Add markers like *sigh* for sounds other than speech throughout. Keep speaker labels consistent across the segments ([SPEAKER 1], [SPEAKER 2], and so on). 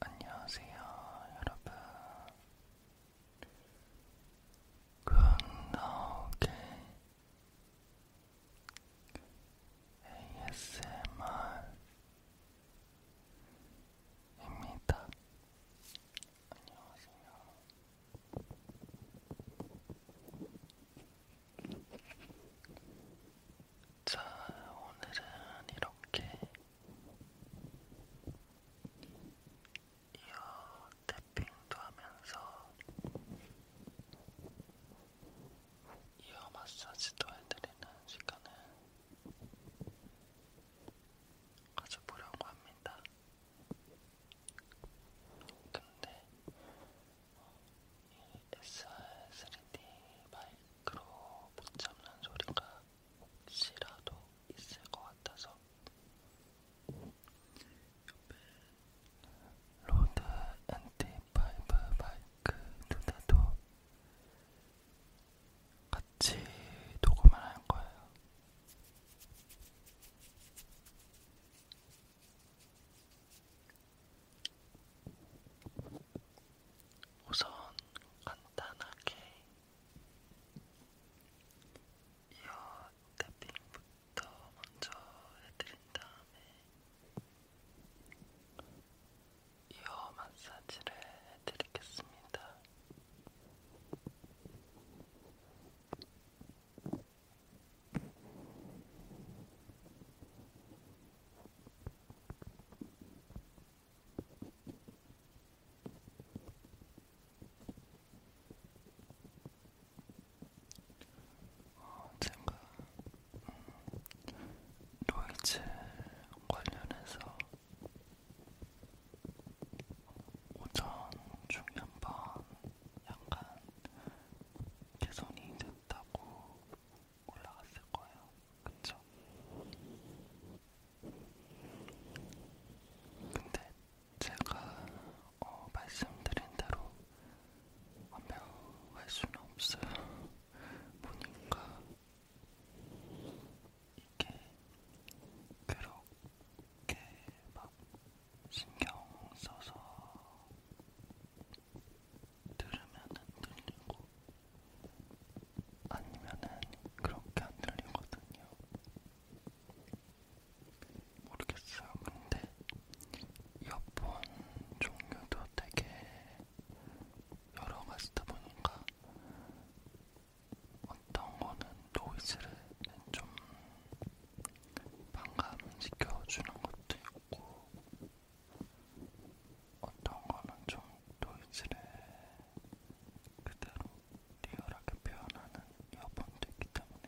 [SPEAKER 1] 안녕하세요, 여러분. 굿나오게 ASMR입니다. 안녕하세요. 자, 오늘은 이렇게 이어 탭핑도 하면서 이어 마사지도 해드리는 시간을 가져보려고 합니다. 근데 이 SR3D 마이크로 못 잡는 소리가 혹시라도 있을 것 같아서 옆에 로드 앤티파이브 마이크 두 대도 같이 녹음을 할 거예요. 우선 간단하게 이어 탭핑부터 먼저 해드린 다음에 이어 마사지를 해드리겠습니다. 어, 제가 음, 노이즈 관련해서 오전 중에 한번 약간 개선이 됐다고 올라갔을 거예요. 그쵸? 근데 제가 어, 말씀드린 대로 완벽할 수는 없어요. 보니까 이게 그렇게 막 신경 써서 들으면은 들리고 아니면은 그렇게 안 들리거든요. 모르겠어요. 근데 이어폰 종류도 되게 여러 가지다 보니까 어떤 거는 노이즈를 좀 반감시켜주는 것도 있고 어떤 거는 좀 노이즈를 그대로 리얼하게 표현하는 이어폰도 있기 때문에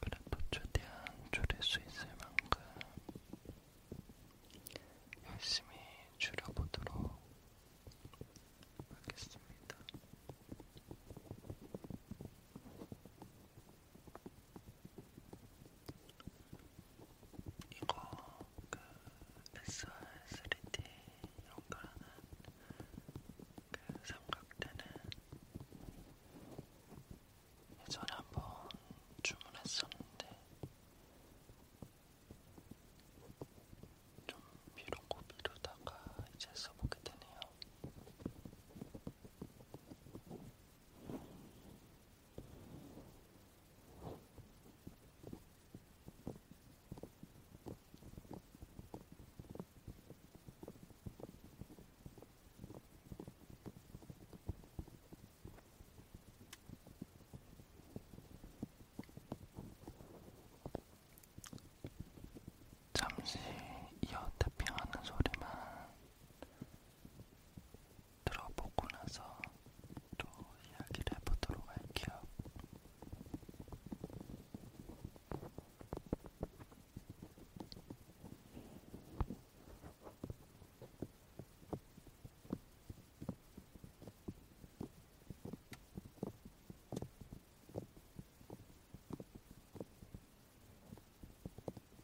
[SPEAKER 1] 그래도 최대한 줄일 수 있을 만큼 열심히 줄여보도록 하겠습니다. 이거 그 SR3D 연결하는 그 삼각대는 예전에 한번 주문했었는데 좀 미루고 미루다가 이제 써보게 되네요. 잠시 이어 태핑하는 소리만 들어보고 나서 또 이야기를 해보도록 할게요.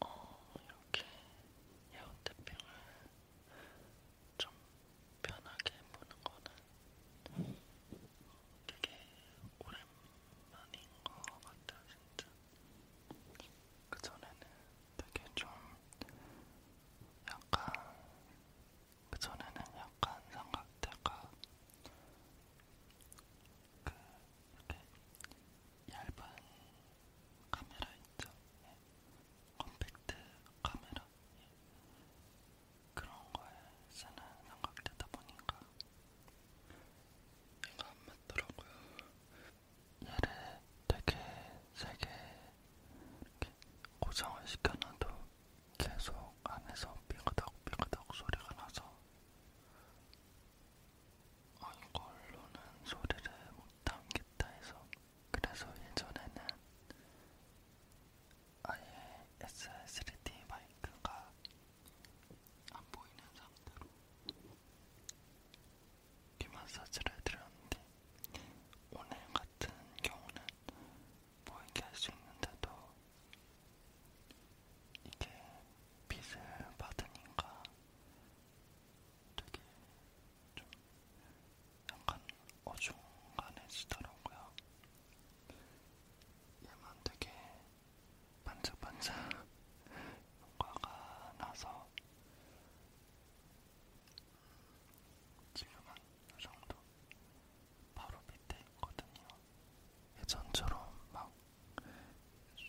[SPEAKER 1] 어, 이렇게 에어태핑을 좀 편하게 보는 거는 되게 오랜만인 것 같아요, 진짜. 그전에는 되게 좀 약간 그전에는 약간 삼각대가 그 이렇게 얇은 카메라 있죠? 예. 컴팩트 카메라 예. 그런 거에 쓰는 삼각대다 보니까 얘가 안 맞더라고요. 얘를 되게 세게 이렇게 고정을 시켜놔도 계속 안에서 삐그덕 삐그덕 소리가 나서 아, 이걸로는 소리를 못 담겠다 해서 그래서 예전에는 아예 S3D 마이크가 안 보이는 상태로 귀 마사지를 해드렸는데 오늘 같은 경우는 보이게 뭐 할수 있는데도 이게 빛을 받으니까 되게 좀 약간 어중간해지더라고요. 얘만 되게 반짝반짝 *laughs* 효과가 나서 지금은 이 정도 바로 밑에 있거든요. 예전처럼 막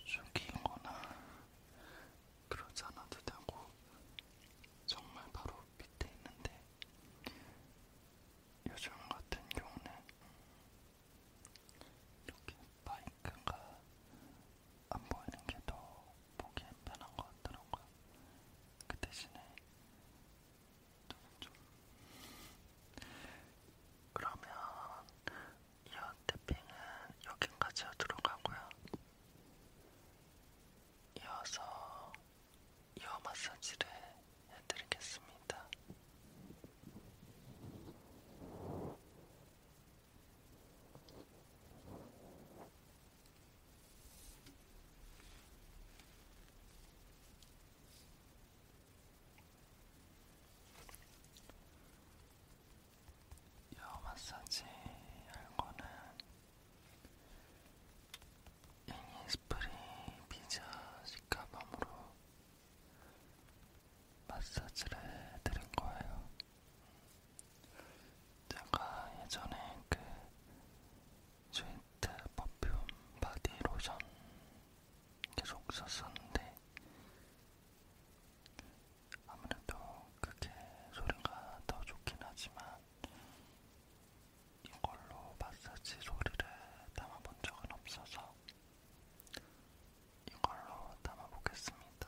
[SPEAKER 1] 숙이거나 그러지 않아도 되고 정말 바로 밑에 있는데 요즘 같은 경우는 이렇게 마이크가 안 보이는 게 더 보기엔 편한 것 같더라고요. 그 대신에 저는 좀 그러면 이어 태핑은 여기까지 들어가고요. 이어서 이어 마사지를 해드리겠습니다. 요 마사지 할거는 이니스프리 비자 시카밤으로 마사지를 해드린 거예요. 제가 예전에 그 스위트 퍼퓸 바디 로션 계속 썼었는데 아무래도 그게 소리가 더 좋긴 하지만 이걸로 마사지 소리를 담아본 적은 없어서 이걸로 담아보겠습니다.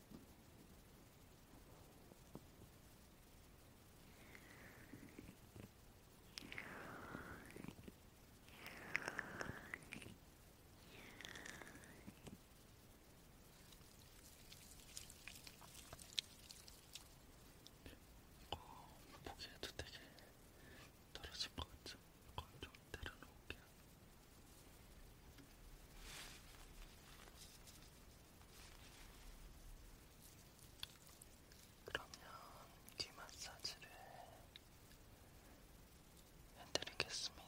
[SPEAKER 1] 이거 어, 뭐 보기에도 되게 떨어진 것 같죠? 건좀 때려놓을게요. 그러면 귀 마사지를 해드리겠습니다.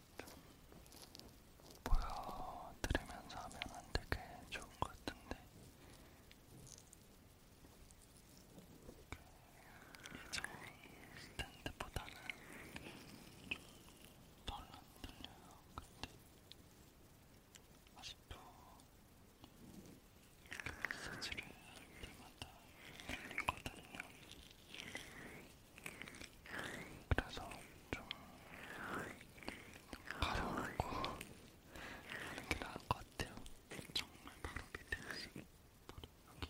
[SPEAKER 1] 보여드리면서 하면 안 되게 좋은 것 같은데 예전 스탠드보다는 좀덜 흔들려요. 근데 아직도 이렇게 마사지를 할 때마다 흔들리거든요. 그래서 좀 가려놓고 하는 게 나을 것 같아요. 정말 바로 밑에 여기 여기 바로 밑에.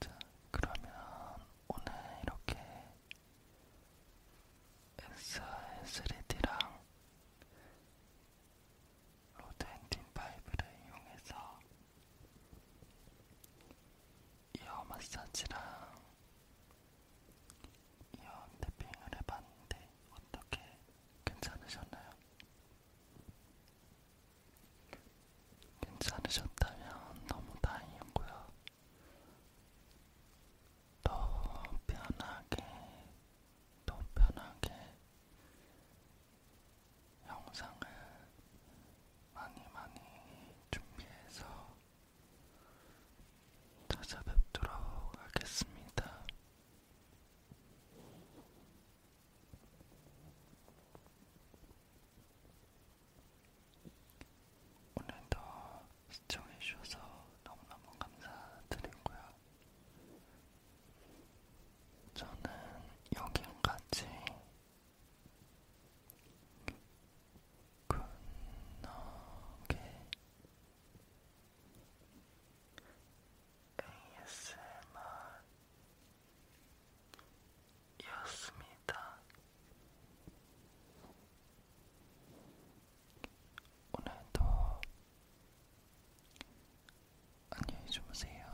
[SPEAKER 1] 자, 그러면 오늘 이렇게 SR3D랑 로드 엔딩 파이브를 이용해서 이어 마사지랑 이어 탭핑을 해봤는데 어떻게 괜찮으셨나요? 괜찮으셨다면 너무 다행이고요. 더 편하게, 더 편하게 영상을 많이 많이 준비해서 찾아뵙도록 하겠습니다. 오늘도 시청해주셔서 너무너무 감사드리고요. 저는 여기까지 굿노게 그 ASMR이었습니다. 오늘도 안녕히 주무세요.